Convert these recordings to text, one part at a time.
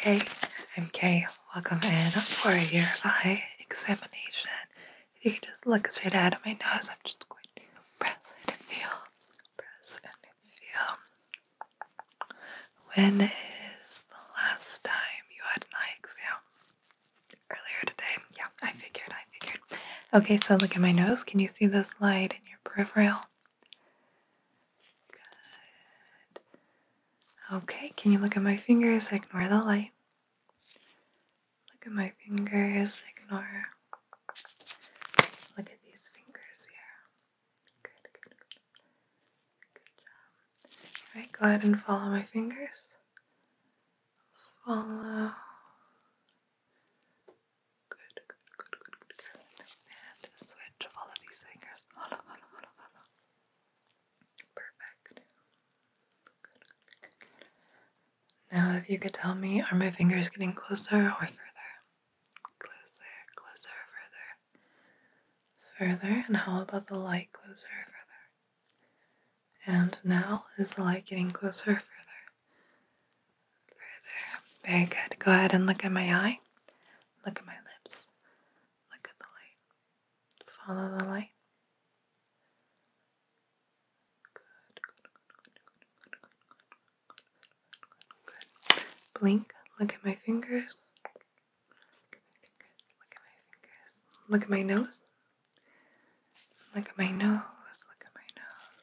Hey, I'm Kay. Welcome in for your eye examination. If you can just look straight at my nose, I'm just going to press and feel. Press and feel. When is the last time you had an eye exam? Earlier today? Yeah, I figured, I figured. Okay, so look at my nose. Can you see this light in your peripheral? Good. Okay, can you look at my fingers? Ignore the light. Look at my fingers. Ignore. Look at these fingers here. Good, good, good. job. Alright, go ahead and follow my fingers. Follow. Good, good, good, good, good, to switch all of these fingers. Perfect. Now, if you could tell me, are my fingers getting closer or further? Closer, closer, further. Further, and how about the light closer, further? And now, is the light getting closer, further? Further. Very good. Go ahead and look at my eye. Look at my lips. Look at the light. Follow the light. Good, Blink. Look at my fingers. Look at my fingers. Look at my nose. Look at my nose. Look at my nose.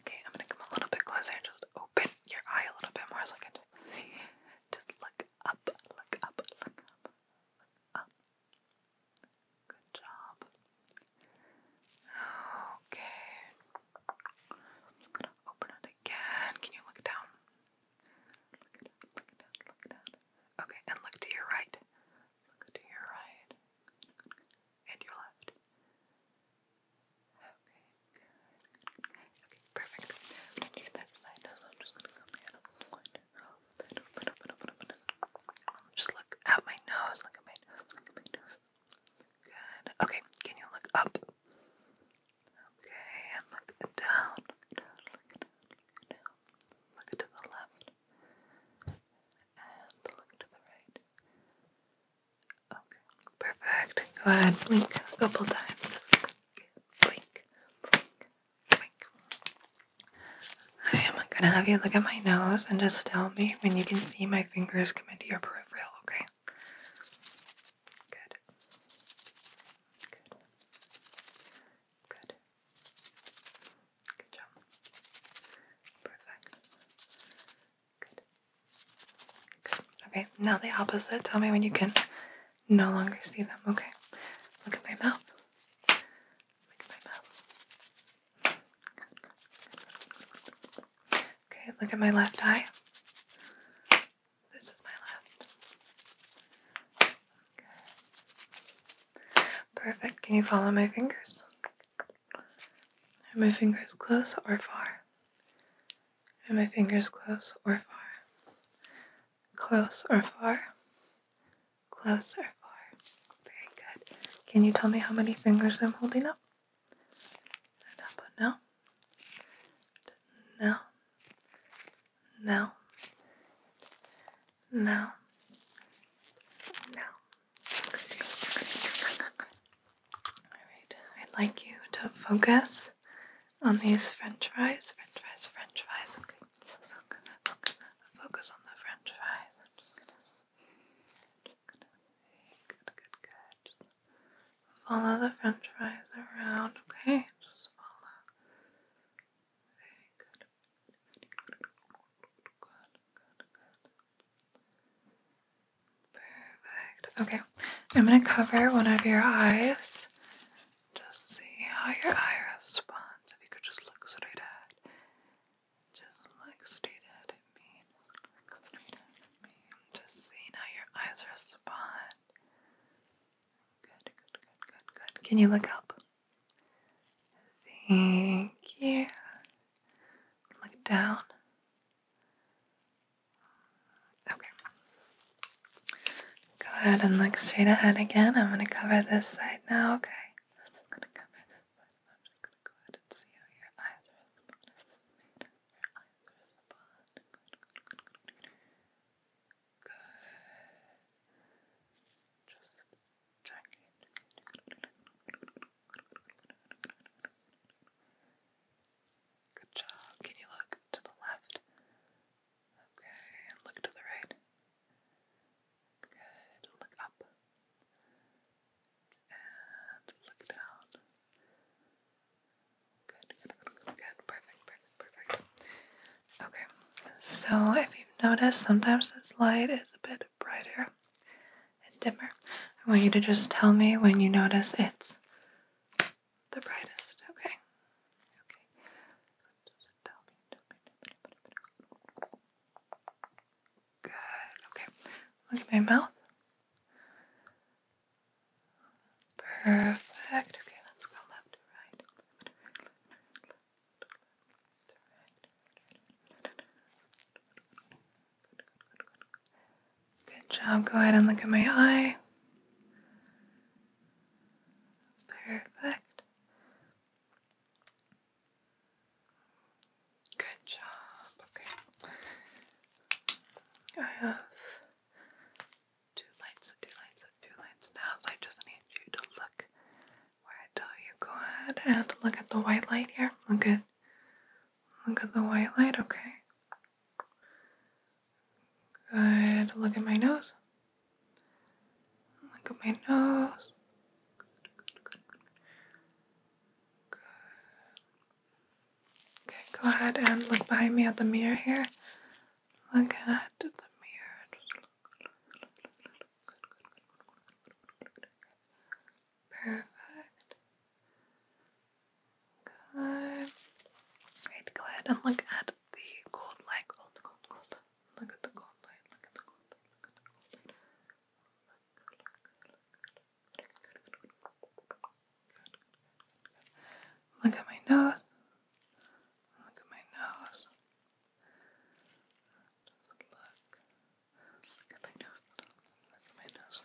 Okay, I'm gonna come a little bit closer and just open your eye a little bit more so I can just Just look up, look up, look up, Good job. Okay. I'm gonna open it again. Can you look down? Look down, look down, look down. Okay, and look to your right. Look to your right and your left. Okay, Okay, perfect. I'm going side now, I'm just gonna come in. I'm going to open, open, open, open, Just look at my nose, look at my nose, look at my nose. Good. Okay, can you look up? Okay, and look down, look down, look down. Look to the left. And look to the right. Okay, perfect. Go ahead, blink a couple times. Just blink, blink, blink. I am gonna have you look at my nose and just tell me when you can see my fingers come into your peripheral, okay? Good. Good. Good. Good job. Perfect. Good. Okay, now the opposite. Tell me when you can no longer see them. Okay. Look at my mouth. Look at my mouth. Okay, look at my left eye. This is my left. Good. Perfect. Can you follow my fingers? Are my fingers close or far? Are my fingers close or far? Close or far? Close or far? Very good. Can you tell me how many fingers I'm holding up? And up no. No. Now. Now. Now. Alright, I'd like you to focus on these french fries. French fries, french fries. Okay, focus, focus, focus on the french fries. I'm just gonna, just gonna good, good, good. Just follow the french fries around, okay? Just follow. Very good. Good, good, good. Perfect. Okay, I'm gonna cover one of your eyes. Just see how your eye responds. If you could just look straight ahead. Just look straight ahead at me. Just see how your eyes respond. Good, good, good, good, good. Can you look up? Thank you. Look down. Okay. Go ahead and look straight ahead again. I'm going to cover this side now, okay? I'm just going to cover this side. I'm just going to go ahead and see how your eyes are Your eyes are good, good, Just check it. Good job. Can you look to the left? Okay, look to the right. Good. Look up. And look down. good, good, good. Perfect, perfect, perfect. Okay, so if you've noticed, sometimes this light is a bit brighter and dimmer. I want you to just tell me when you notice it's the brightest. Okay. Okay. Good. Okay. Look at my mouth. Perfect. Okay, let's go left to right. Good, job. Go ahead and look at my eye. Perfect. Good job. Okay. I have two lights, two lights, two lights now, so I just need you to look where I tell you. Go ahead and look at the white light here. Look at look at the white light, okay? Good. Look at my nose. Look at my nose. Okay, go ahead and look behind me at the mirror here. Look at the mirror. Perfect. Good. Right, go ahead and look at the gold light. Look at the gold light. Look at my nose. Look at my nose. look. at my nose. Look at my nose.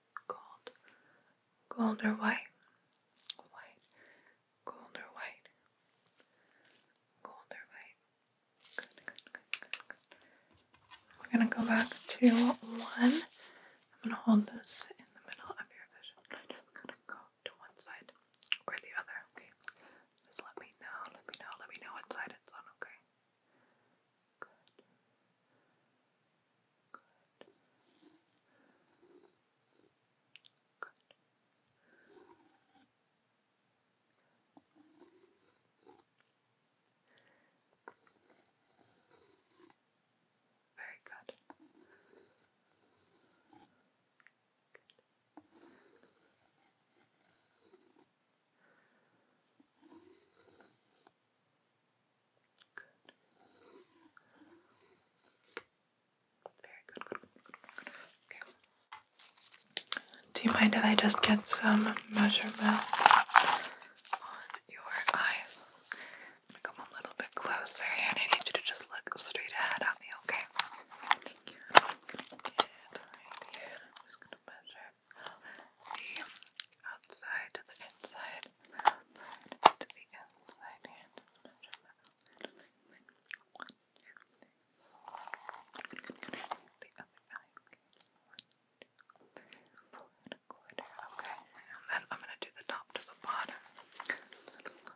gold, gold or white, white, gold or white, gold or white. Good, good, good, good, good. We're gonna go back to one. I'm gonna hold this in the middle of your vision. I'm gonna go to one side or the other. Okay. Just let me know. Let me know. Let me know what side it's on. Okay. Good. Good. Good. Very good. good. Very good, Do you mind if I just get some measurements on your eyes? come a little bit closer and I need you to just look straight ahead at me, okay? the outside to the inside, to the inside, and the One, two, three, One, two, three, four and a quarter, okay. And then I'm gonna do the top to the bottom. One,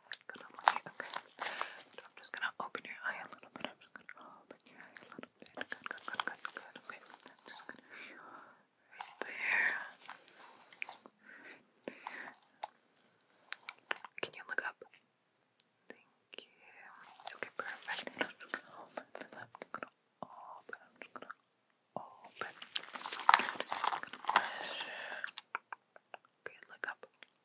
Because I'm like, okay. I'm just gonna open your eye a little bit. I'm just gonna open your eye a little bit. Good, good, good, good, good. Okay. right there. Can you look up? Thank you. Okay, perfect. I'm just gonna open I'm just gonna open. Good. look up.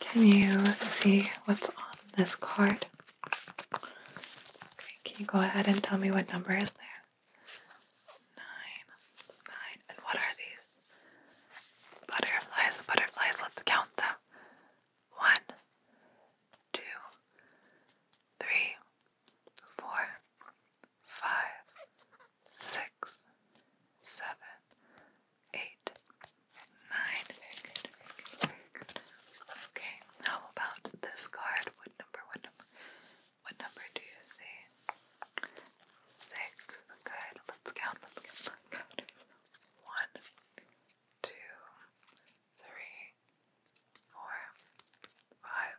Can you see what's on this card? can you go ahead and tell me what number is there? Nine. Nine. And what are these? Butterflies, butterflies. Let's count them. One, two, three, four, five, six, seven, eight, nine. Very good, very good, very good. Okay, how about this card? What number? What number? What number do you see? Six. Good. Let's count. Let's count. Let's count. One, two, three, four, five,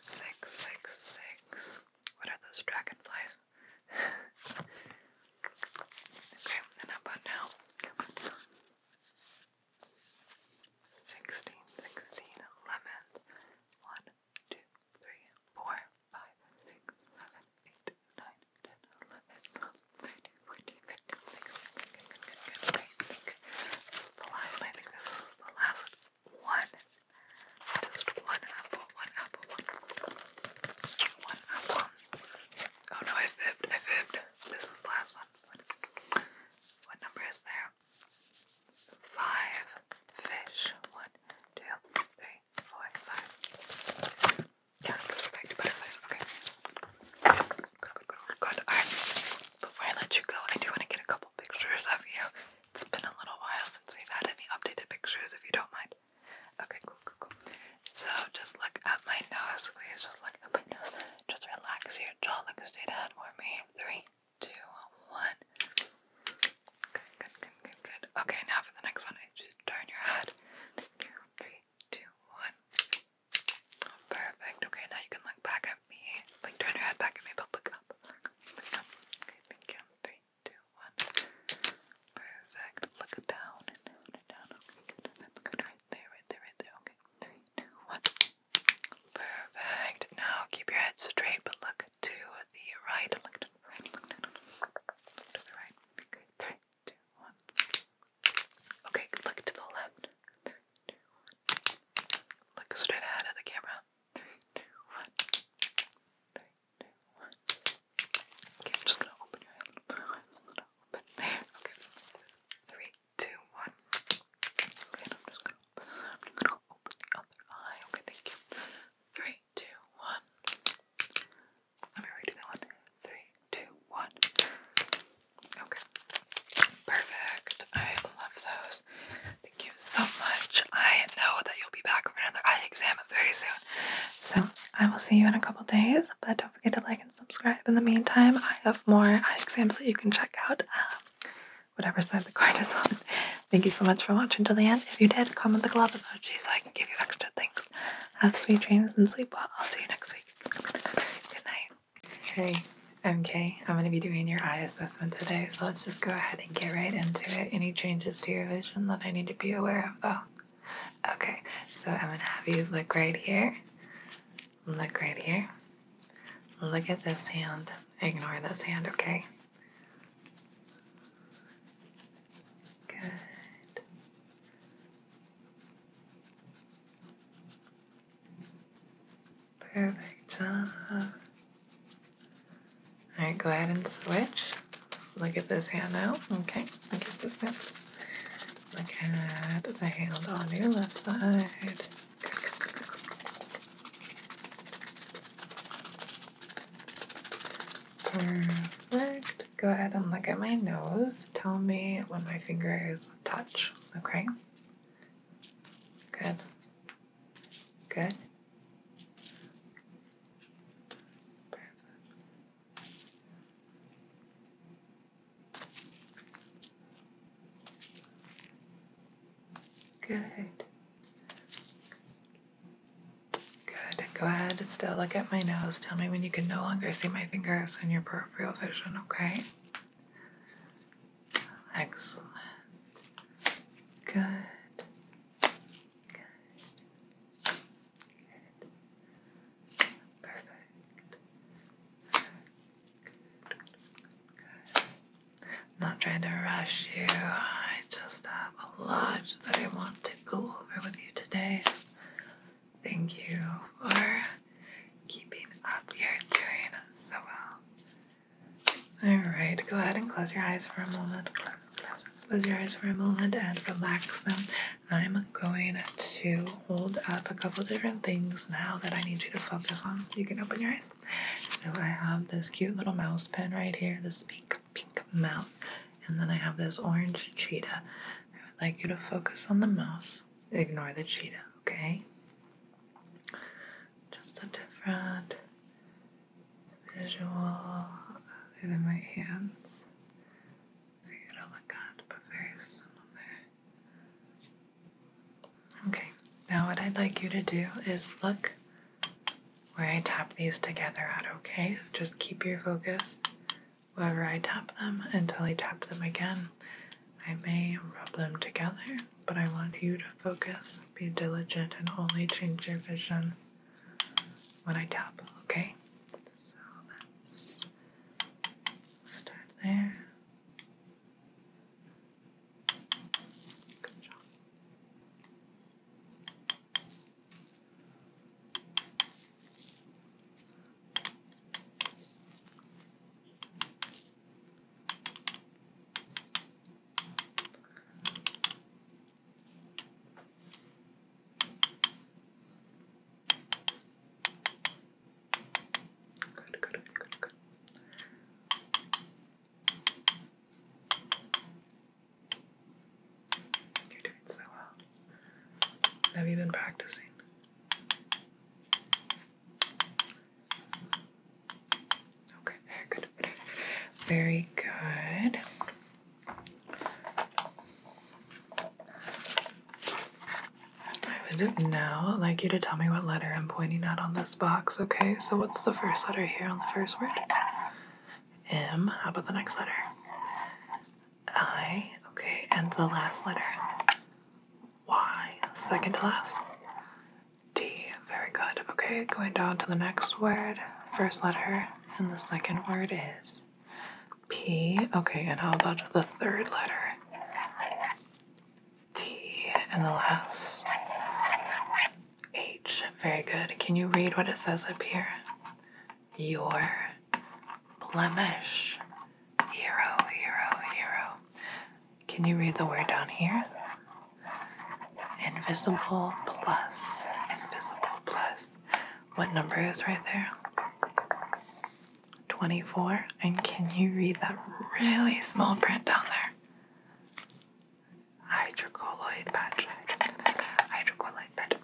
six, six, six. What are those dragonflies? okay, and how about now? How about now? 16, 16 Good, good, good, good, good. Okay, the last one. I think this is the last one. Just one apple, one apple, one apple. One apple. Oh no, I fibbed, I fibbed. This is the last one. What, number is there? Five fish. One, two, three, four, five. Yeah, because we're back to butterflies. Okay. Good, good, good, good. Alright. Before I let you go, I do want to get a couple pictures of you. It's been a little while since we've had any updated pictures, if you don't mind. Okay, cool, cool, cool. So just look at my nose, please. Just look at my nose. Just relax your jaw. Look straight ahead for me. Three, two, one. Good, good, good, good, good. Okay, now for the next one, I should turn your head. Thank you. Three, two, one. Perfect. Okay, now you can look back at me. Like turn your head back at me, but look up. Look up. Okay, thank you two, one. Perfect. Look down and down Okay, good. Right there, right there, right there. Okay. Three, two, one. Perfect. Now keep your head straight, but look to the right. Look to the right. Look to the right. Good. Three, two, one. Okay, look to the left. Three, two, one. Look straight ahead at the camera. Three, two, two, Okay, I'm just gonna open your head open there. Okay. Three, two, one. Okay, I'm just gonna I'm gonna open the other eye. Okay, thank you. Three, two, one. Let me redo that one. Three, two, one. Okay. Perfect. I love those. Thank you so much. I know that you'll be back for another eye exam very soon. So I will see you in a couple days, but don't forget to like and subscribe. In the meantime, I have more eye exams that you can check out. Um, whatever side the card is on. Thank you so much for watching till the end. If you did, comment the glove emoji so I can give you extra things. Have sweet dreams and sleep well. I'll see you next week. Good night. Hey, okay. I'm going to be doing your eye assessment today, so let's just go ahead and get right into it. Any changes to your vision that I need to be aware of, though? Oh. Okay, so I'm gonna have you look right here. Look right here. Look at this hand. Ignore this hand, okay? Good. Perfect job. All right, go ahead and switch. Look at this hand now. Okay, look at this hand. Look at the hand on your left side. Perfect. Go ahead and look at my nose. Tell me when my fingers touch, okay? Good. Good. Good. Good. Go ahead, still look at my nose. Tell me when you can no longer see my fingers in your peripheral vision, okay? Excellent. Good. Good. Perfect. I'm not trying to rush you. I just have a lot that I want to go over with you today. Thank you for keeping up. you doing so well. Alright, go ahead and close your eyes for a moment. Close your eyes for a moment and relax them. I'm going to hold up a couple different things now that I need you to focus on. You can open your eyes. So I have this cute little mouse pen right here, this pink, pink mouse. And then I have this orange cheetah. I would like you to focus on the mouse. Ignore the cheetah, okay? Just a different visual other than my hands for you to look at, but very Okay, now what I'd like you to do is look where I tap these together at, okay? Just keep your focus wherever I tap them until I tap them again. I may rub them together, but I want you to focus, be diligent, and only change your vision when I tap, okay? So let's start there. Good job. Good, good, good, good. You're doing so well. Have you been practicing? Okay, good. Very good. I would like you to tell me what letter I'm pointing at on this box, okay? So, what's the first letter here on the first word? M. How about the next letter? I. Okay, and the last letter? Y. Second to last? D. Very good. Okay, going down to the next word. First letter and the second word is P. Okay, and how about the third letter? T. And the last? H. Very good. Can you read what it says up here? Your blemish. Hero, hero, hero. Can you read the word down here? Invisible plus. Invisible plus what number is right there? 24. And can you read that really small print down there? Hydrocolloid patch. Hydrocolloid patch.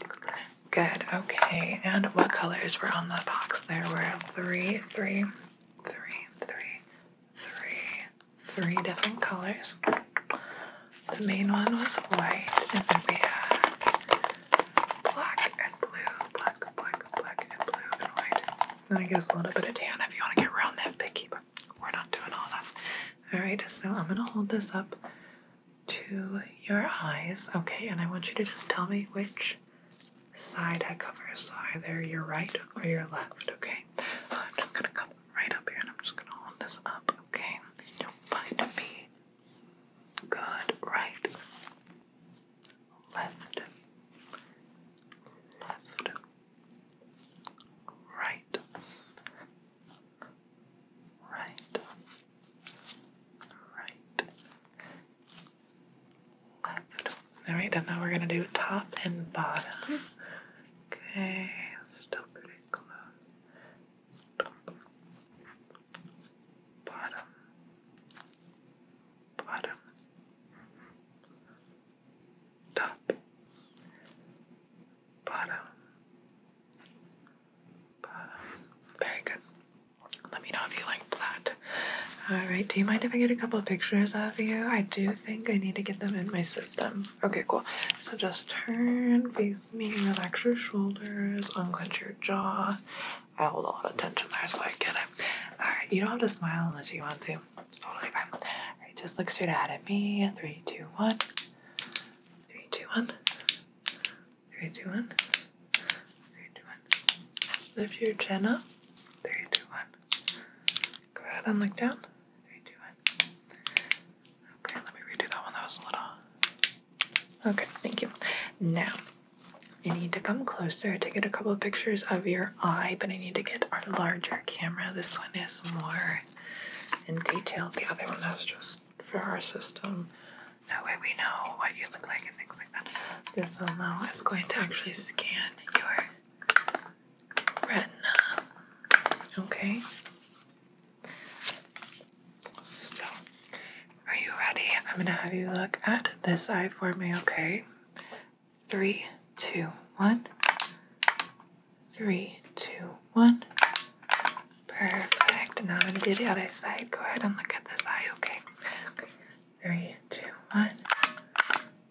Good. Okay. And what colors were on the box? There were three, three, three, three, three, three different colors. The main one was white, and then we had black and blue, black, black, black, and blue, and white. Then I guess a little bit of tan if you want to get real nitpicky, but we're not doing all that. Alright, so I'm gonna hold this up to your eyes, okay? And I want you to just tell me which side I cover. So either your right or your left, okay? I'm just gonna come right up here and I'm just gonna hold this up, okay? You don't want Good. Right. Left. Left. Right. Right. Right. Left. Alright, and now we're gonna do top and bottom. Okay, still pretty close bottom, bottom, top, bottom, bottom. Very Let me know if you like that. Alright, do you mind if I get a couple of pictures of you? I do think I need to get them in my system. Okay, cool. So just turn, face me, relax your shoulders, unclench your jaw. I hold a lot of tension there, so I get it. Alright, you don't have to smile unless you want to. It's totally fine. just look straight ahead at me. Three, two, one. Three, two, one. Three, two, one. Three, two, one. Lift your chin up. Three, two, one. Go ahead and look down. Three, two, one. Okay, let me redo that one. That was a little Okay, thank you. Now, I need to come closer to get a couple pictures of your eye, but I need to get our larger camera. This one is more in detail. The other one is just for our system. That way we know what you look like and things like that. This one now is going to actually scan your retina. Okay. So, are you ready? I'm gonna have you look at this eye for me, okay? Three, two, one. Three, two, one. Perfect. Now I'm gonna do the other side. Go ahead and look at this eye, okay? okay. Three, two, one.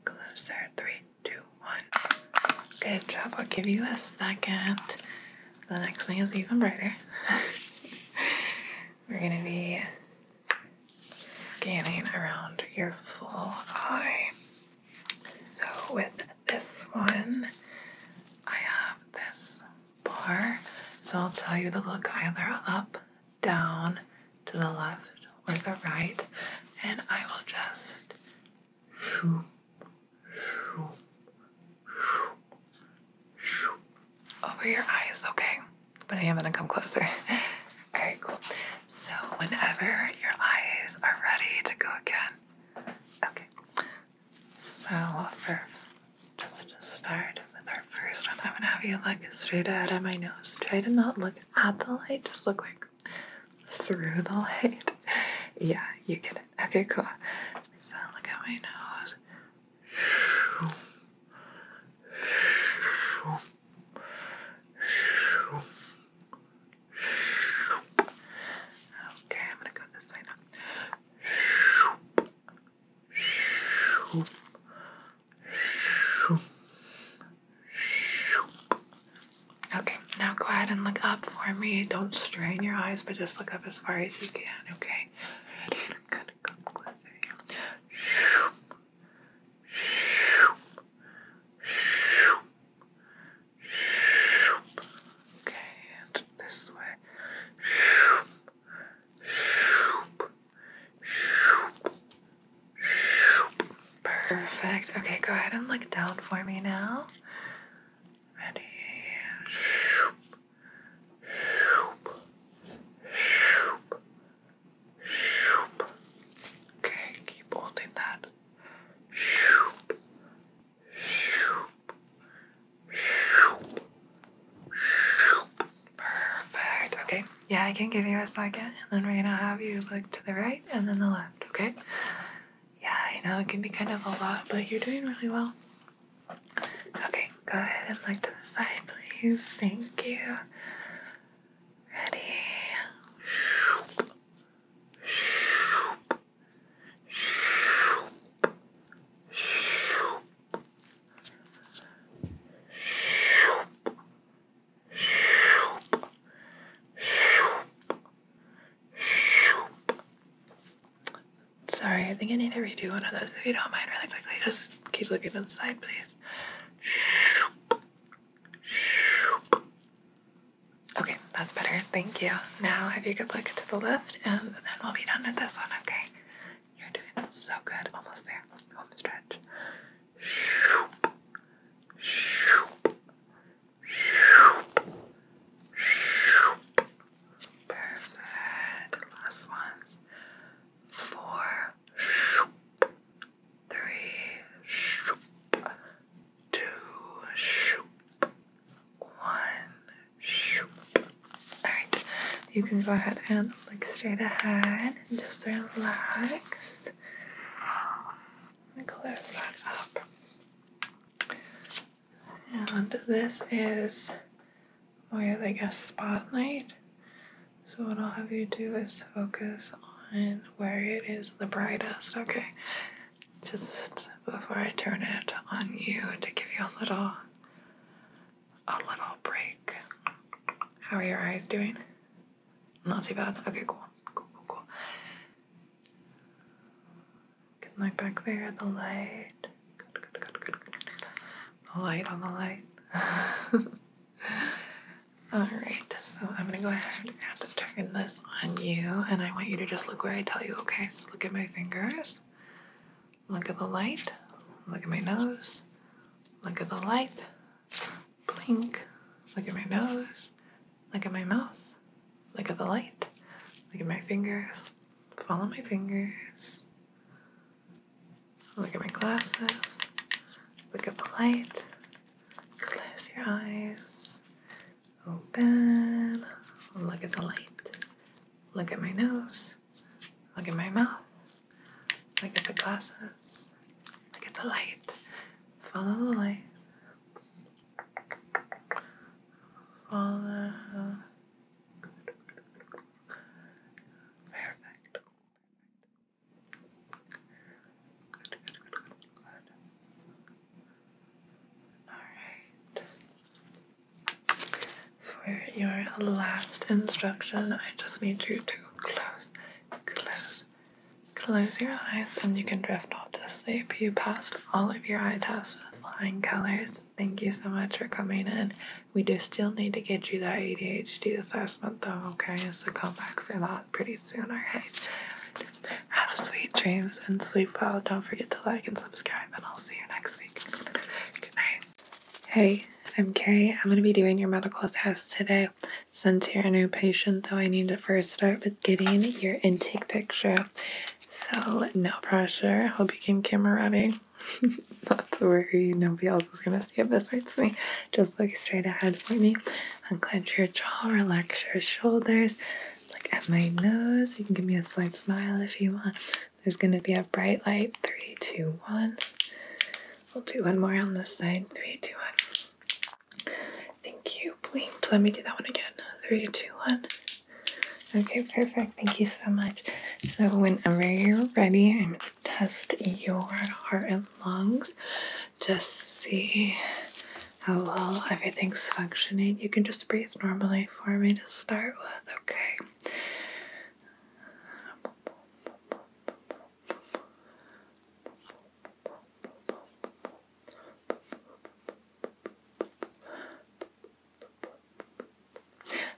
Closer. Three, two, one. Good job. I'll give you a second. The next thing is even brighter. We're gonna be scanning around your full eye. So, with this one, I have this bar. So, I'll tell you to look either up, down, to the left, or the right, and I will just over your eyes, okay? But I am gonna come closer. Okay, cool. So, whenever your eyes are ready to go again, okay. So, for just to start with our first one, I'm gonna have you look straight out at my nose. Try to not look at the light, just look like through the light. yeah, you can. Okay, cool. So, look at my nose. Okay, I'm gonna go this way now. Okay, now go ahead and look up for me. Don't strain your eyes, but just look up as far as you can, okay? I'm gonna come closer Shoop, shoop, shoop, shoop. Okay, and this way. Shoop, shoop, shoop, shoop. Perfect. Okay, go ahead and look down for me now. Ready. Shoop, Okay, keep holding that. Perfect. Okay. Yeah, I can give you a second, and then we're gonna have you look to the right and then the left. Okay. Yeah, I know it can be kind of a lot, but you're doing really well. Okay, go ahead and look to the side, please. Thank you. Ready? Shoop. Shoop. Shoop. Shoop. Shoop. Shoop. Shoop. Shoop. Sorry, I think I need to redo one of those if you don't mind really quickly. Just keep looking to the side, please. Okay, that's better. Thank you. Now, have you could look to the left, and then we'll be done with this one, okay? You're doing so good. Almost there. Home stretch. Perfect. Last ones. Four. Three. Two. One. Alright. You can go ahead and look straight ahead and just relax. Let me close that up. And this is with like a spotlight. So what I'll have you do is focus on where it is the brightest, okay? Just before I turn it on you to give you a little a little break. How are your eyes doing? Not too bad. Okay, cool. Cool, cool, cool. Can look back there at the light. Good, good, good, good, good. Light on the light. Alright, so I'm gonna go ahead and turn this on you, and I want you to just look where I tell you, okay? So look at my fingers, look at the light, look at my nose, look at the light, blink, look at my nose, look at my mouth, look at the light, look at my fingers, follow my fingers, Look at my glasses. Look at the light. Close your eyes. Open. Look at the light. Look at my nose. Look at my mouth. Look at the glasses. Look at the light. Follow the light. Follow Perfect. Alright. For your last instruction, I just need you to close, close, close your eyes, and you can drift off to sleep. You passed all of your eye tests with flying colors. Thank you so much for coming in. We do still need to get you that ADHD assessment though, okay? So come back for that pretty soon, alright? Have sweet dreams and sleep well. Don't forget to like and subscribe, and I'll see you next week. Good night. Hey, I'm Kay. I'm going to be doing your medical test today. Since you're a new patient, though, I need to first start with getting your intake picture. So, no pressure. Hope you came camera ready. not to worry, nobody else is gonna see it besides me. Just look straight ahead for me. Unclench your jaw, relax your shoulders, look at my nose. You can give me a slight smile if you want. There's gonna be a bright light. Three, two, one. We'll do one more on this side. Three, two, one. Thank you. Please Let me do that one again. Three, two, one. Okay, perfect. Thank you so much. So, whenever you're ready, I'm going to test your heart and lungs. Just see how well everything's functioning. You can just breathe normally for me to start with, okay?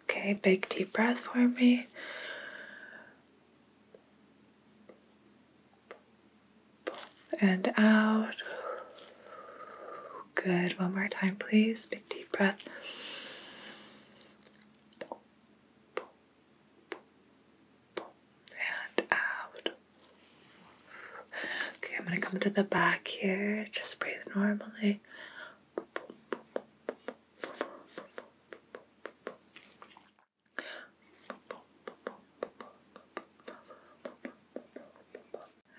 Okay, big deep breath for me. And out. Good. One more time, please. Big deep breath. And out. Okay, I'm going to come to the back here. Just breathe normally.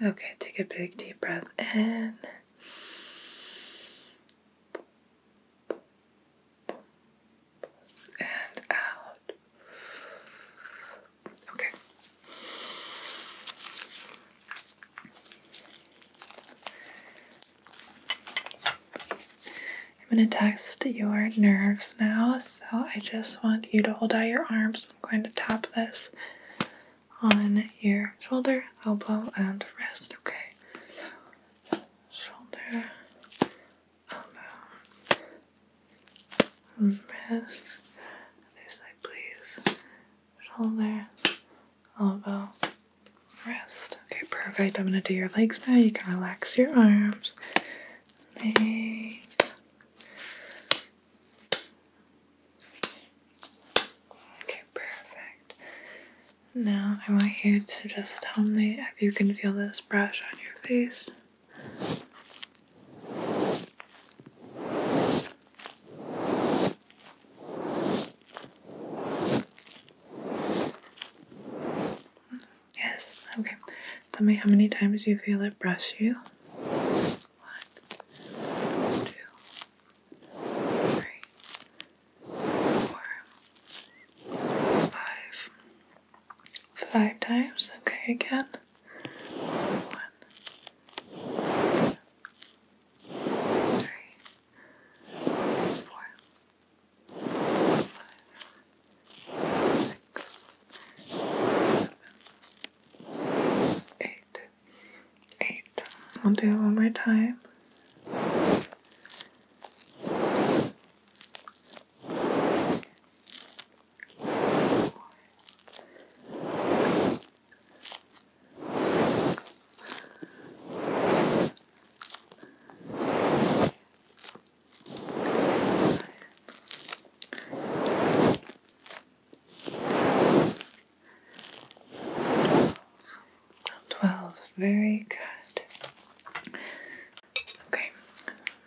Okay, take a big deep breath in. And out. Okay. I'm going to test your nerves now, so I just want you to hold out your arms. I'm going to tap this on your shoulder, elbow, and wrist, okay? shoulder, elbow, wrist, this side, please shoulder, elbow, wrist. Okay, perfect. I'm gonna do your legs now. You can relax your arms. Legs. Okay, perfect. Now I want you to just tell me if you can feel this brush on your face. Yes, okay. Tell me how many times you feel it brush you. One, two, three, four, five. Five times, okay, again. One, three, four, five, six, seven, eight, eight. I'll do it one more time. Five, Twelve. Very good. Okay.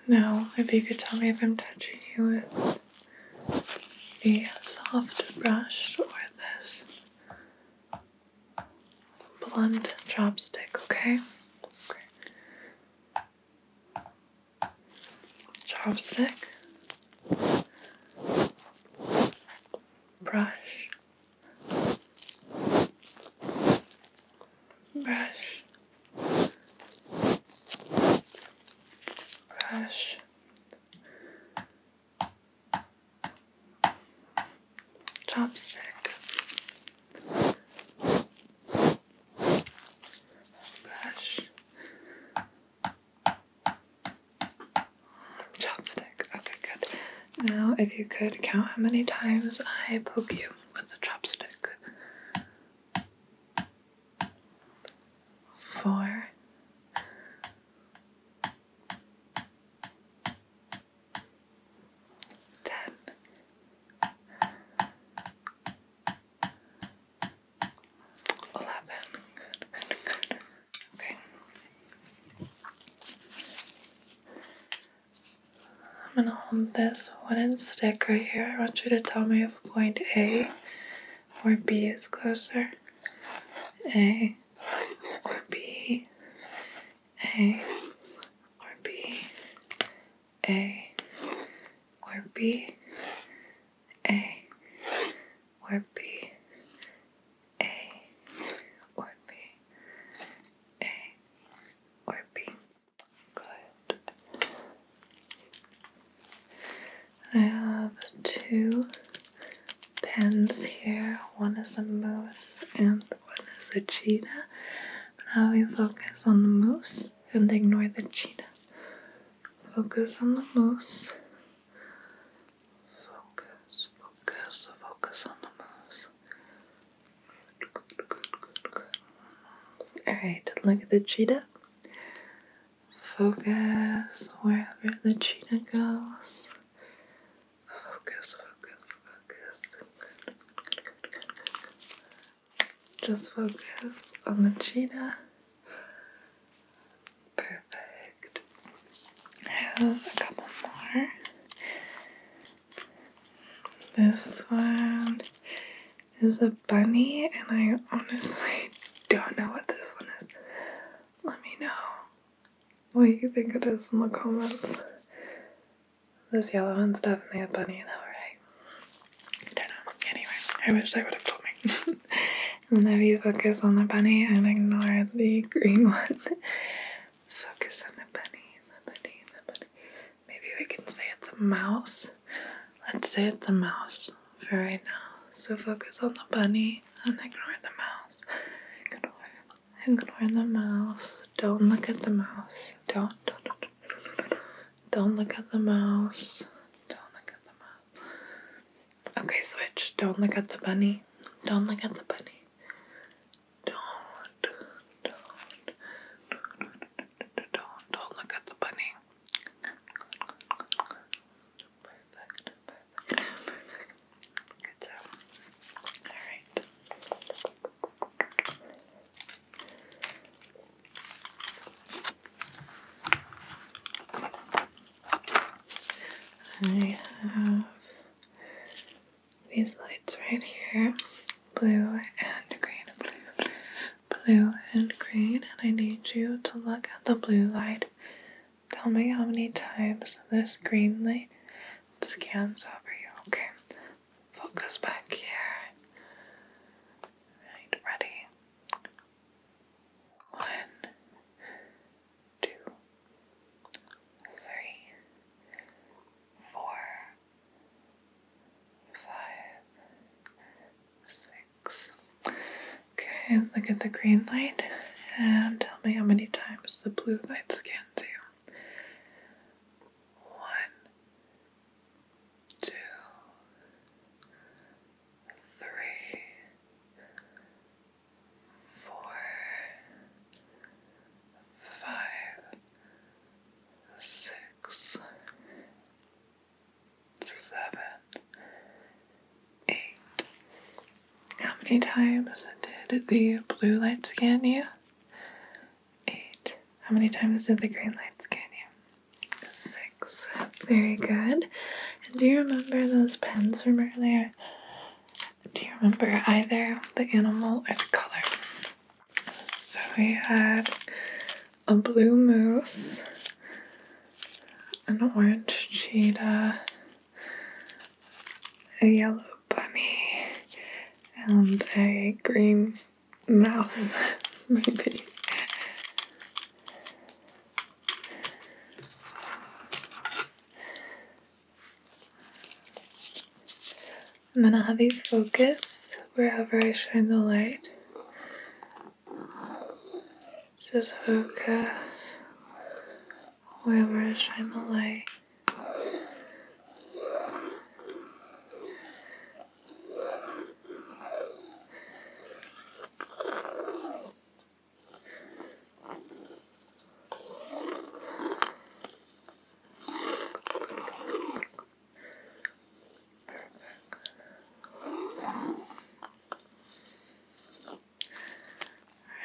Now, if you could tell me if I'm touching you with the soft brush or this blunt chopstick, okay? Chopstick. Brush. Brush. Brush chopstick, brush, chopstick. Okay, good. Now, if you could count how many times I poke you with the chopstick. Four, Ten. Eleven. Okay. I'm gonna hold this wooden stick right here. I want you to tell me if point A or B is closer. A or Good. I have two pens here. One is a moose and one is a cheetah. Now we focus on the moose and ignore the cheetah. Focus on the moose. Focus, focus, focus on the moose. Good, good, good, good. Alright, look at the cheetah. Focus wherever the cheetah goes. Focus, focus, focus. Just focus on the cheetah. Perfect. I have a couple more. This one is a bunny, and I honestly don't know what this one is. Let me know what you think it is in the comments. This yellow one's definitely a bunny though, right? I don't know. Anyway, I wish I would have told my. and if you focus on the bunny and ignore the green one, focus on the bunny, the bunny, the bunny. Maybe we can say it's a mouse. Let's say it's a mouse for right now. So focus on the bunny and ignore the mouse. Ignore Ignore the mouse. Don't look at the mouse. Don't, don't, don't, don't look at the mouse. Don't look at the mouse. Okay, switch. Don't look at the bunny. Don't look at the bunny. Don't, don't, don't, don't look at the bunny. perfect. Good job. Alright. I have these lights right here blue and green, blue, blue and green, and I need you to look at the blue light Tell me how many times this green light scans over you. Okay, focus back here. ready. One, two, three, four, five, six. Okay, look at the green light and tell me how many times the blue light scans into one, two, three, four, five, six, seven, eight. How many times did the blue light scan you? Eight. How many times did the green lights scan you? Six. Very good. And do you remember those pens from earlier? Do you remember either the animal or the color? So we had a blue moose, an orange cheetah, a yellow bunny, and a green mouse, maybe. And then I'll have these focus wherever I shine the light. Just focus 我也不是什么来。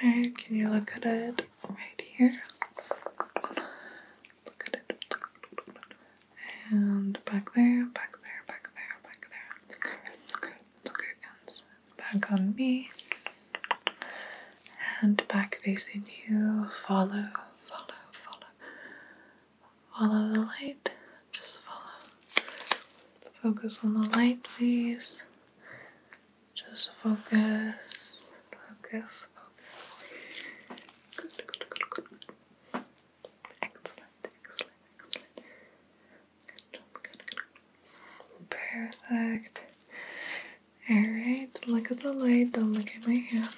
Alright, can you look at it right here? Look at it. And back there, back there, back there, back there. Okay, okay, okay. And back on me. And back facing you. Follow, follow, follow. Follow the light. Just follow. Focus on the light, please. Just focus, focus, focus. Excellent, excellent, excellent. Perfect. Alright, look at the light, don't look at my hand.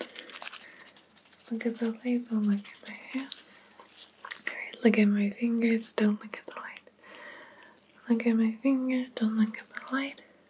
Look at the light, don't look at my hand. Alright, look at my fingers, don't look at the light. Look at my finger, don't look at the light.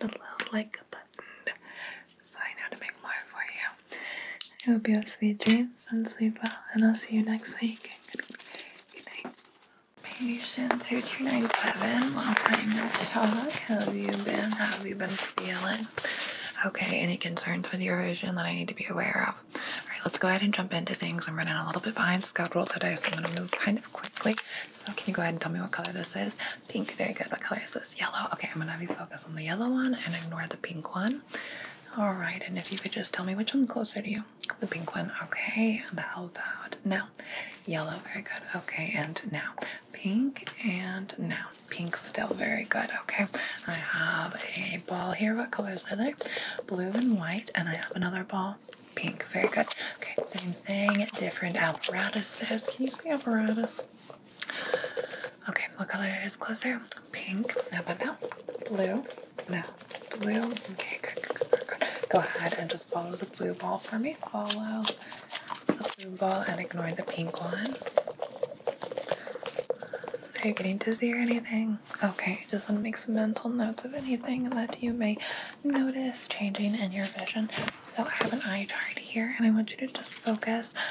little, little like button. So I know to make more for you. I hope you have sweet dreams and sleep well, and I'll see you next week. Good night. Patient 2297, long time no talk. How have you been? How have you been feeling? Okay, any concerns with your vision that I need to be aware of? All right, let's go ahead and jump into things. I'm running a little bit behind schedule today, so I'm going to move kind of quickly. So can you go ahead and tell me what color this is? Pink, very good. What color is this? Yellow. Okay, I'm gonna have you focus on the yellow one and ignore the pink one. All right, and if you could just tell me which one's closer to you, the pink one. Okay, and how about now? Yellow, very good. Okay, and now pink and now pink still very good okay i have a ball here what colors are they? blue and white and i have another ball pink very good okay same thing different apparatuses can you see apparatus Okay, what color is closer? Pink. Now, but now, blue. Now, blue. Okay, good, good, good, Go ahead and just follow the blue ball for me. Follow the blue ball and ignore the pink one. Are you getting dizzy or anything? Okay, just want to make some mental notes of anything that you may notice changing in your vision. So I have an eye chart here, and I want you to just focus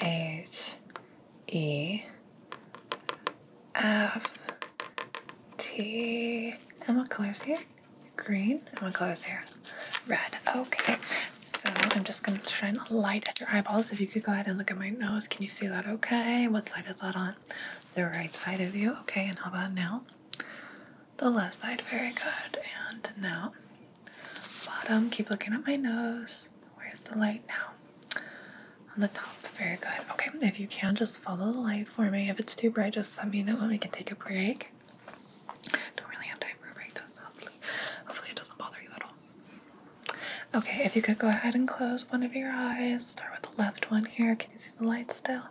H E F T. And what color is here? Green. And what color is here? Red. Okay. So I'm just going to shine a light at your eyeballs. If you could go ahead and look at my nose. Can you see that okay? What side is that on? The right side of you. Okay. And how about now? The left side. Very good. And now Bottom, keep looking at my nose. Where's the light now? On the top. Very good. Okay, if you can, just follow the light for me. If it's too bright, just let me know and we can take a break. Don't really have time for a break, though, hopefully, hopefully it doesn't bother you at all. Okay, if you could go ahead and close one of your eyes. Start with the left one here. Can you see the light still?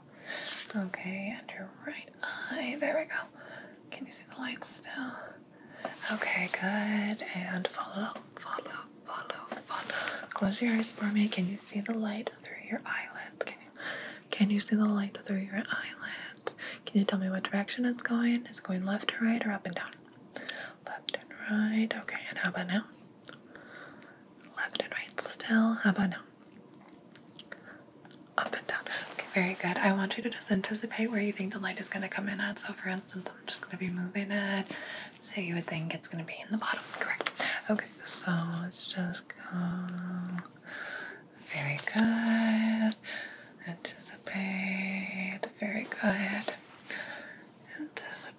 Okay, and your right eye. There we go. Can you see the light still? Okay, good. And follow, follow, follow, follow. Close your eyes for me. Can you see the light through your eyelids? Can you, see the light through your eyelids? Can you tell me what direction it's going? It's going left or right or up and down? Left and right. Okay, and how about now? Left and right still. How about now? Up and down very good. I want you to just anticipate where you think the light is going to come in at. So, for instance, I'm just going to be moving it. So, you would think it's going to be in the bottom, correct? Okay, so let's just go. Very good. Anticipate. Very good. Anticipate.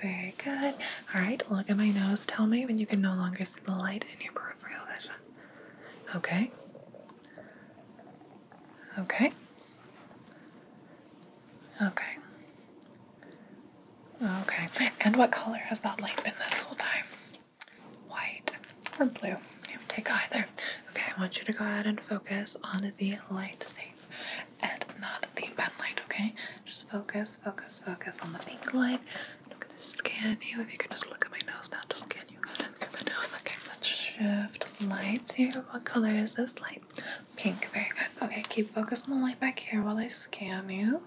Very good. All right, look at my nose. Tell me when you can no longer see the light in your peripheral vision. Okay. Okay. Okay. Okay. And what color has that light been this whole time? White or blue? You can take either. Okay, I want you to go ahead and focus on the light safe and not the pen light, okay? Just focus, focus, focus on the pink light. I'm gonna scan you. If you could just look at my nose now, to scan you. Okay, let's shift lights here. What color is this light? Pink. Very good. Okay, keep focus on the light back here while I scan you.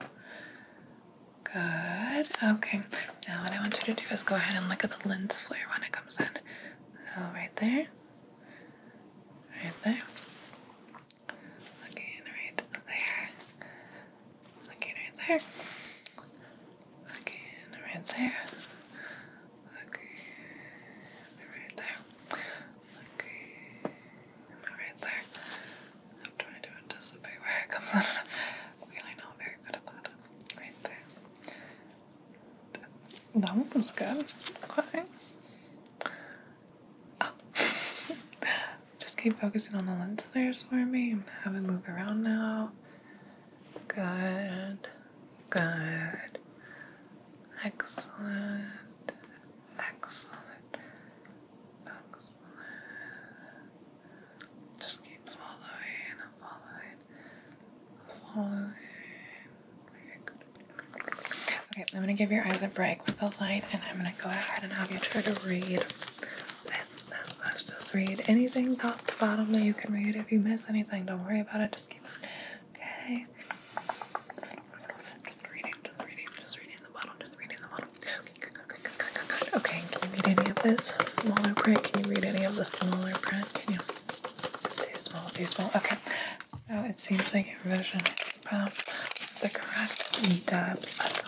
Good. Okay. Now what I want you to do is go ahead and look at the lens flare when it comes in. So oh, right there. Right there. Looking right there. Looking right there. Again, right there. Again, right there. Again, right there. I'm trying to anticipate where it comes out. really not very good at that. Right there. That one was good. Okay. Oh. Just keep focusing on the lens there for me. Have am move around now. Good. Good. Excellent. Excellent. Excellent. Just keep following and following. Following. Okay, I'm gonna give your eyes a break with the light and I'm gonna go ahead and have you try to read Let's just read anything top to bottom that you can read. If you miss anything, don't worry about it. Just keep on. Okay. Just reading, just reading, just reading the bottle, just reading the bottle. Okay, good, good, good, good, Okay, can you read any of this smaller print? Can you read any of the smaller print? Can you? Too small, too small. Okay. So it seems like your vision is the correct depth.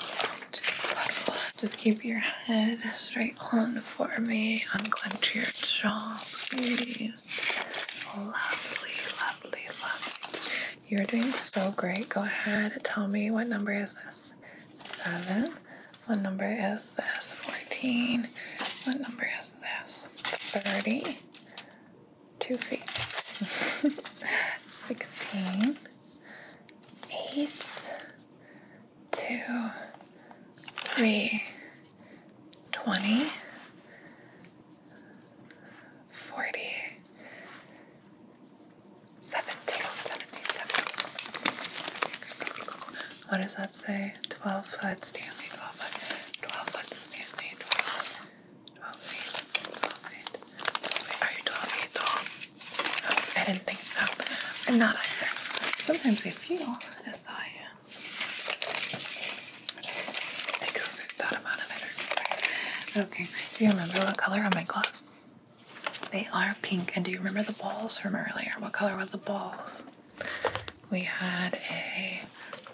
Just keep your head straight on for me. Unclench your jaw, please. Lovely, lovely, lovely. You're doing so great. Go ahead. Tell me what number is this? Seven. What number is this? Fourteen. What number is this? Thirty. Two feet. Sixteen. Eight two, three, 20, 40, 17, 17, 17. What does that say? 12 foot Stanley, 12 foot, 12 foot Stanley, 12, 12 feet, 12 feet, 12 feet. Are you 12 feet tall? No, I didn't think so. I'm not either. Sometimes we feel as though I am just that amount of energy. Okay, do you remember what color are my gloves? They are pink. And do you remember the balls from earlier? What color were the balls? We had a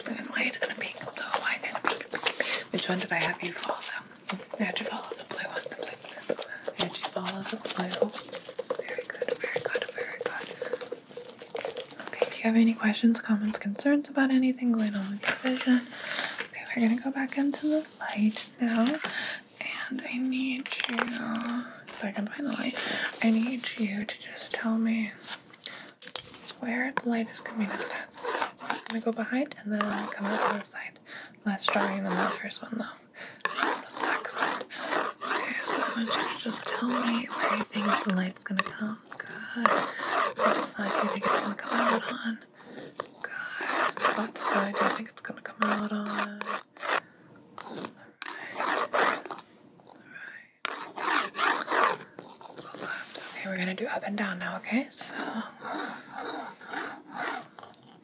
blue and white and a pink, blue white and pink. Which one did I have you follow? I had you follow the blue one. The blue. I had you follow the blue. Very good, very good, very good. Okay, do you have any questions, comments, concerns about anything going on with your vision? Okay, we're gonna go back into the light now. And I need you, if I can find the light, I need you to just tell me where the light is coming out at. So it's gonna go behind and then come out on the side. Less drawing than the first one though. Just excellent. Okay, so I you just tell me where you think the light's gonna come. Good. What side you think it's gonna come out on? Good. What side you think it's gonna come out on? Alright. Alright. Okay, we're gonna do up and down now, okay? So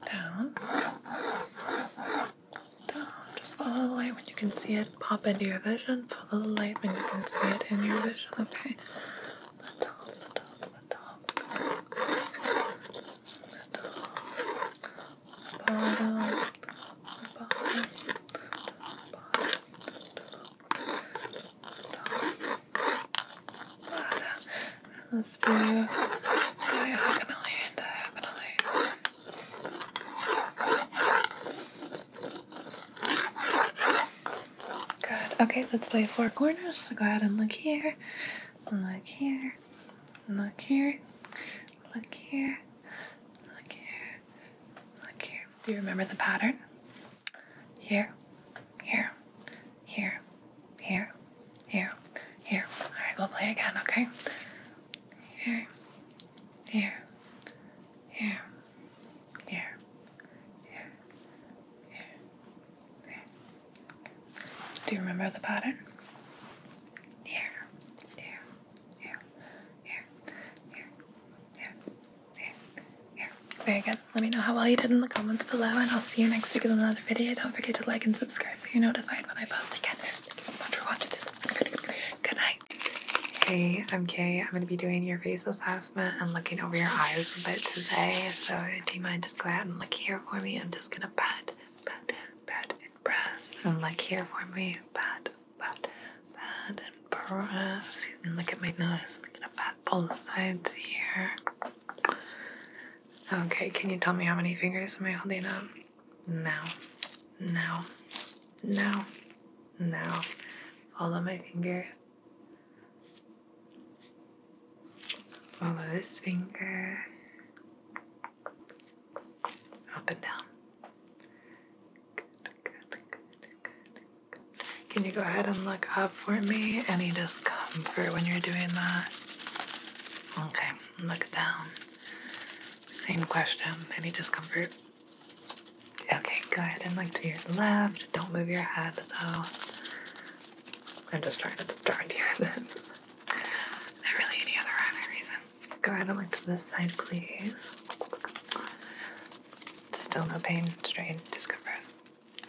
down. Just follow the light when you can see it pop into your vision. Follow the light when you can see it in your vision, okay? Good. Okay, let's play four corners. So go ahead and look here, look here, look here, look here, look here, look here. Do you remember the pattern? Here, here, here, here, here, here. All right, we'll play again, okay? Here, here, here, here, here, here, here. Do you remember the pattern? Here, here, here, here, here, here, Very good. Let me know how well you did in the comments below, and I'll see you next week in another video. Don't forget to like and subscribe so you're notified when I post again. Thank you so much for watching Good night. Hey, I'm Kay. I'm going to be doing your face assessment and looking over your eyes a bit today. So do you mind just go out and look here for me? I'm just going to pat, pat, pat and press. And look here for me. Pat, pat, pat and press. And look at my nose. I'm going to pat both sides here. Okay, can you tell me how many fingers am I holding up? now, now, now, now. Follow my finger. Follow this finger. Up and down. Good, good, good, good, good. Can you go ahead and look up for me? Any discomfort when you're doing that? Okay, look down. Same question. Any discomfort? Okay, go ahead and like to your left. Don't move your head though. I'm just trying to start you with this. Not really any other reason. Go ahead and look to this side, please. Still no pain, strain, discomfort.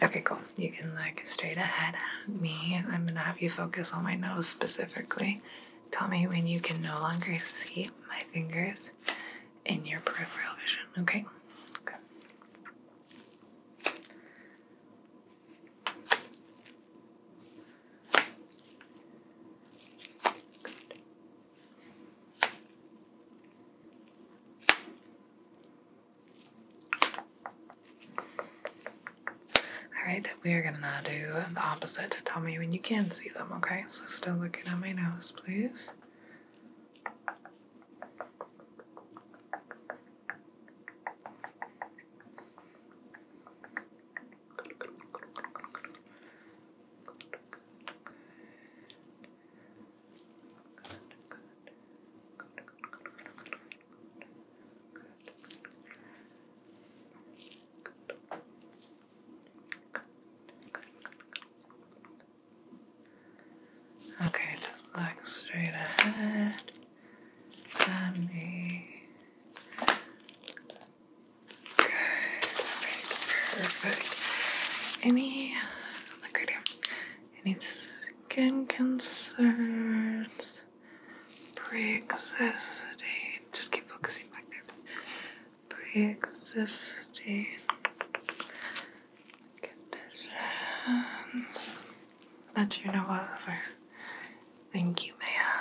Okay, cool. You can like straight ahead at me. I'm gonna have you focus on my nose specifically. Tell me when you can no longer see my fingers in your peripheral vision, okay? Okay. All right, we are gonna do the opposite. Tell me when you can see them, okay? So still looking at my nose, please. Okay, just look straight ahead at me. Good, perfect. Any, look right here, any skin concerns, pre-existing, just keep focusing back there pre-existing conditions that you know of Thank you Maya.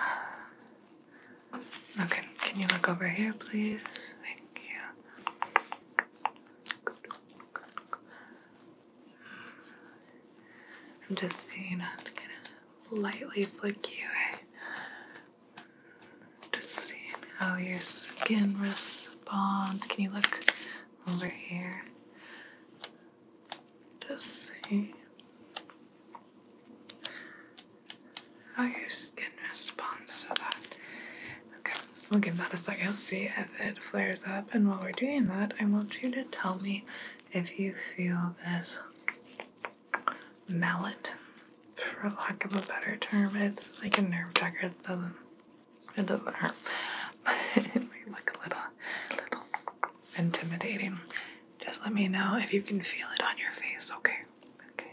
Okay, can you look over here, please? Thank you. I'm just seeing am gonna lightly flick you. I just seeing how your skin responds. Can you look over here? Just see how your skin responds to that. Okay, we'll give that a second, see if it flares up. And while we're doing that, I want you to tell me if you feel this mallet, for lack of a better term. It's like a nerve trigger. It doesn't, it doesn't hurt. it might look a little, little intimidating. Just let me know if you can feel it on your face, okay? Okay.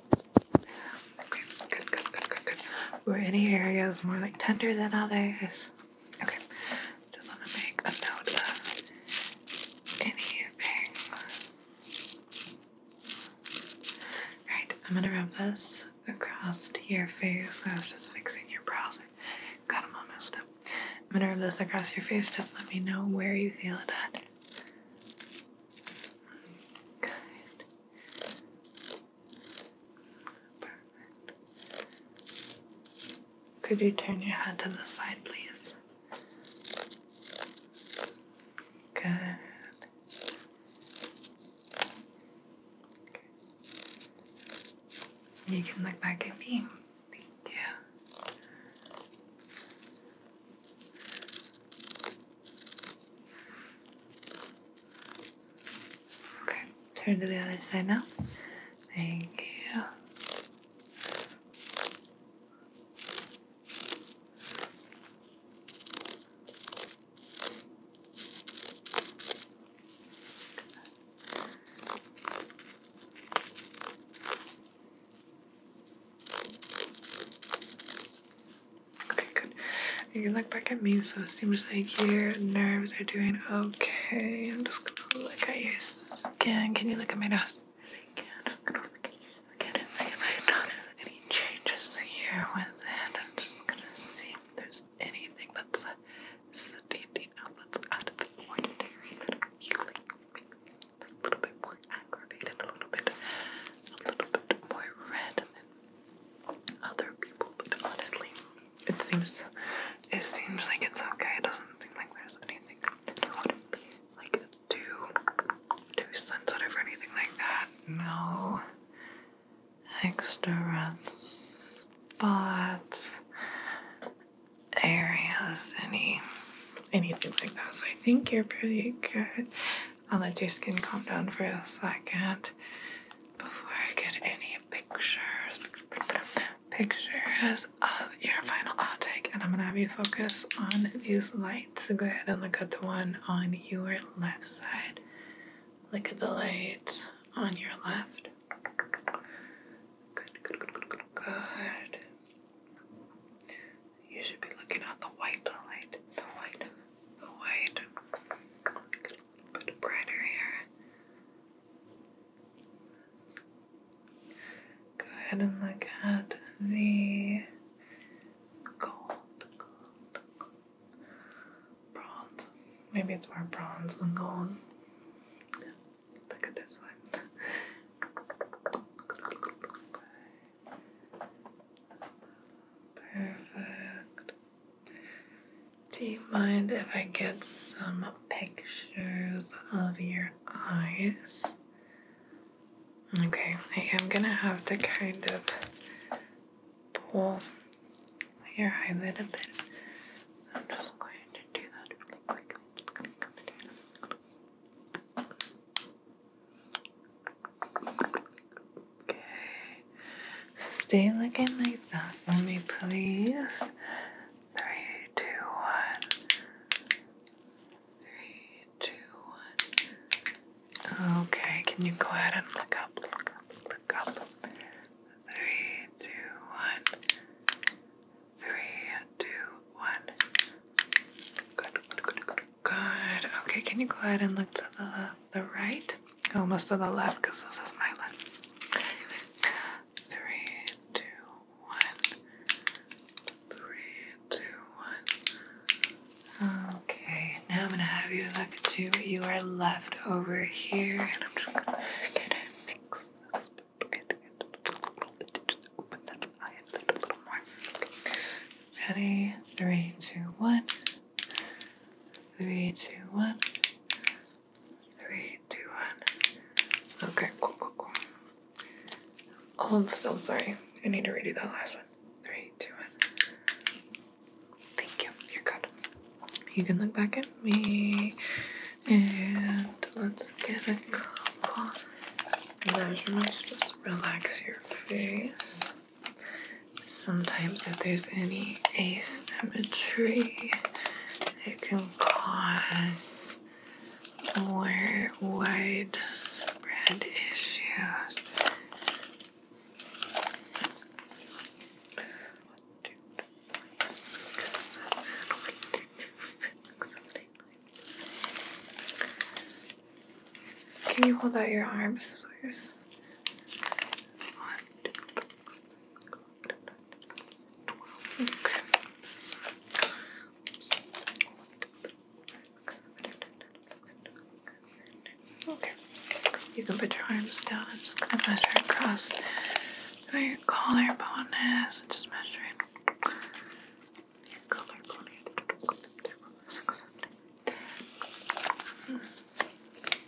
Okay, good, good, good, good, good. Were any areas more like tender than others? Okay, just want to make note of anything. Right, I'm gonna rub this across your face. I was just fixing your brows. I got them all messed up. I'm gonna rub this across your face. Just let me know where you feel it at. Good. Could you turn your head to the side, please? Good. You can look back at me. Thank you. Okay, turn to the other side now. Thank you. Okay, good. You can look back at me, so it seems like your nerves are doing okay. I'm just gonna look at your skin. Can you look at my nose? Yes, can. I'm gonna look at it and see if I notice any changes here with it. I'm just gonna see if there's anything that's standing out that's out of the ordinary that a little bit more aggravated, a little bit, a little bit more red, other people, but honestly, it seems it seems like it's okay. It doesn't seem like there's anything that would be like too too sensitive or anything like that. No extra red spots, areas, any anything like that. So I think you're pretty good. I'll let your skin calm down for a second before I get any pictures pictures of your final outtake. And I'm gonna have you focus on these lights. So go ahead and look at the one on your left side. Look at the light on your left. good, good, good, good, good. You should be looking at the white light. The white the white. Get brighter here. Go ahead and look at the gold, bronze. Maybe it's more bronze than gold. Look at this one. Perfect. Do you mind if I get some pictures of your eyes? Okay, I am gonna have to kind of pull your eyelid a bit. I'm just going to do that really quickly. just gonna come in. Okay. Stay looking like that for me, please. Three, two, one. Three, two, one. Okay, can you go ahead and look up, look up, look up? Three, two, one. Three, two, one. Good, good, good, good, good. Okay, can you go ahead and look to the left? the right, almost to the left because this is my left. Three, two, one. Three, two, one. Okay, now I'm gonna have you look to are left over here, and I'm just gonna get it fixed. Open that eye a little more. Ready? Three, two, one. Three, two, one. Three, two, one. Okay, cool, cool, cool. Hold still, sorry. I need to redo that last one. Three, two, one. Thank you. You're good. You can look back at me. And let's get a couple measurements. Just relax your face sometimes if there's any asymmetry, it can cause more widespread issues. Can you hold out your arms, please? Okay, you can put your arms down. I'm just gonna measure across your collarbone is. Just measuring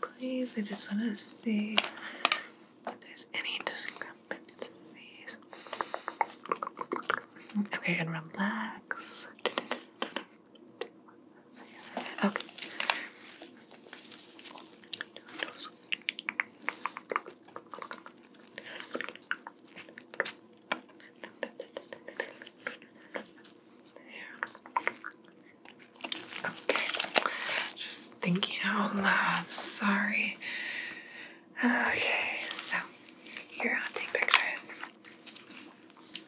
please. I just want to see if there's any discrepancies. Okay, and relax. Okay. Okay. Just thinking out loud. Sorry. Okay, so here I'll take pictures.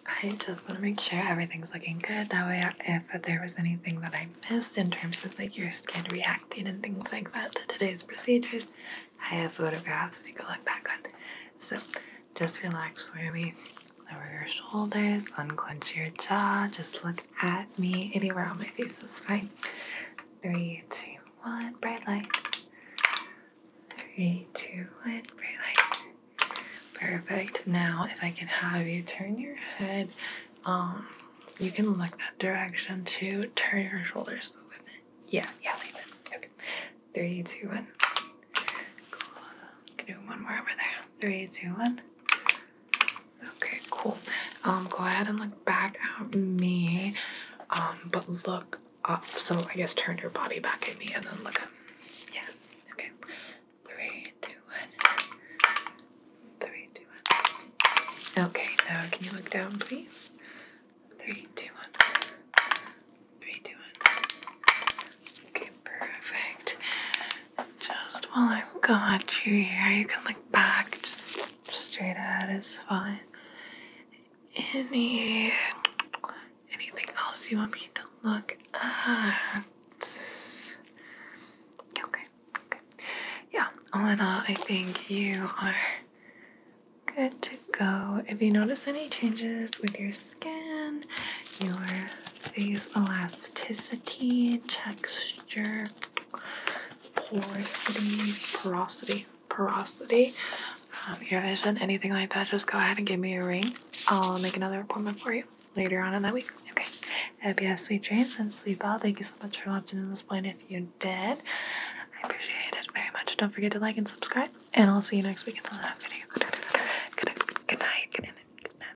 I just want to make sure everything's looking good. That way, if there was anything that I missed in terms of like your skin reacting and things like that to today's procedures, I have photographs to go look back on. So just relax for me. Lower your shoulders, unclench your jaw, just look at me. Anywhere on my face is fine. Three, two, one, bright light. Three, two, one, bright light. Perfect. Now, if I can have you turn your head, um, you can look that direction too. Turn your shoulders with it. Yeah, yeah, leave it. Okay. Three, two, one. Cool. Do one more over there. Three, two, one. Okay, cool. Um, go ahead and look back at me. Um, but look up. So I guess turn your body back at me and then look up. Yeah. Okay. Three, two, one. Three, two, one. Okay, now can you look down please? Three, two, one. Three, two, one. Okay, perfect. Just while I've got you here, you can look back just straight ahead is fine. Any anything else you want me to look at? Okay, okay. Yeah, all in all, I think you are good to go. If you notice any changes with your skin, your these elasticity, texture, porosity, porosity, porosity, um, Your vision, anything like that, just go ahead and give me a ring. I'll make another appointment for you later on in that week. Okay. I hope you have sweet dreams and sleep well. Thank you so much for watching this point. If you did, I appreciate it very much. Don't forget to like and subscribe, and I'll see you next week in the next video. Good night. Good night. Good night.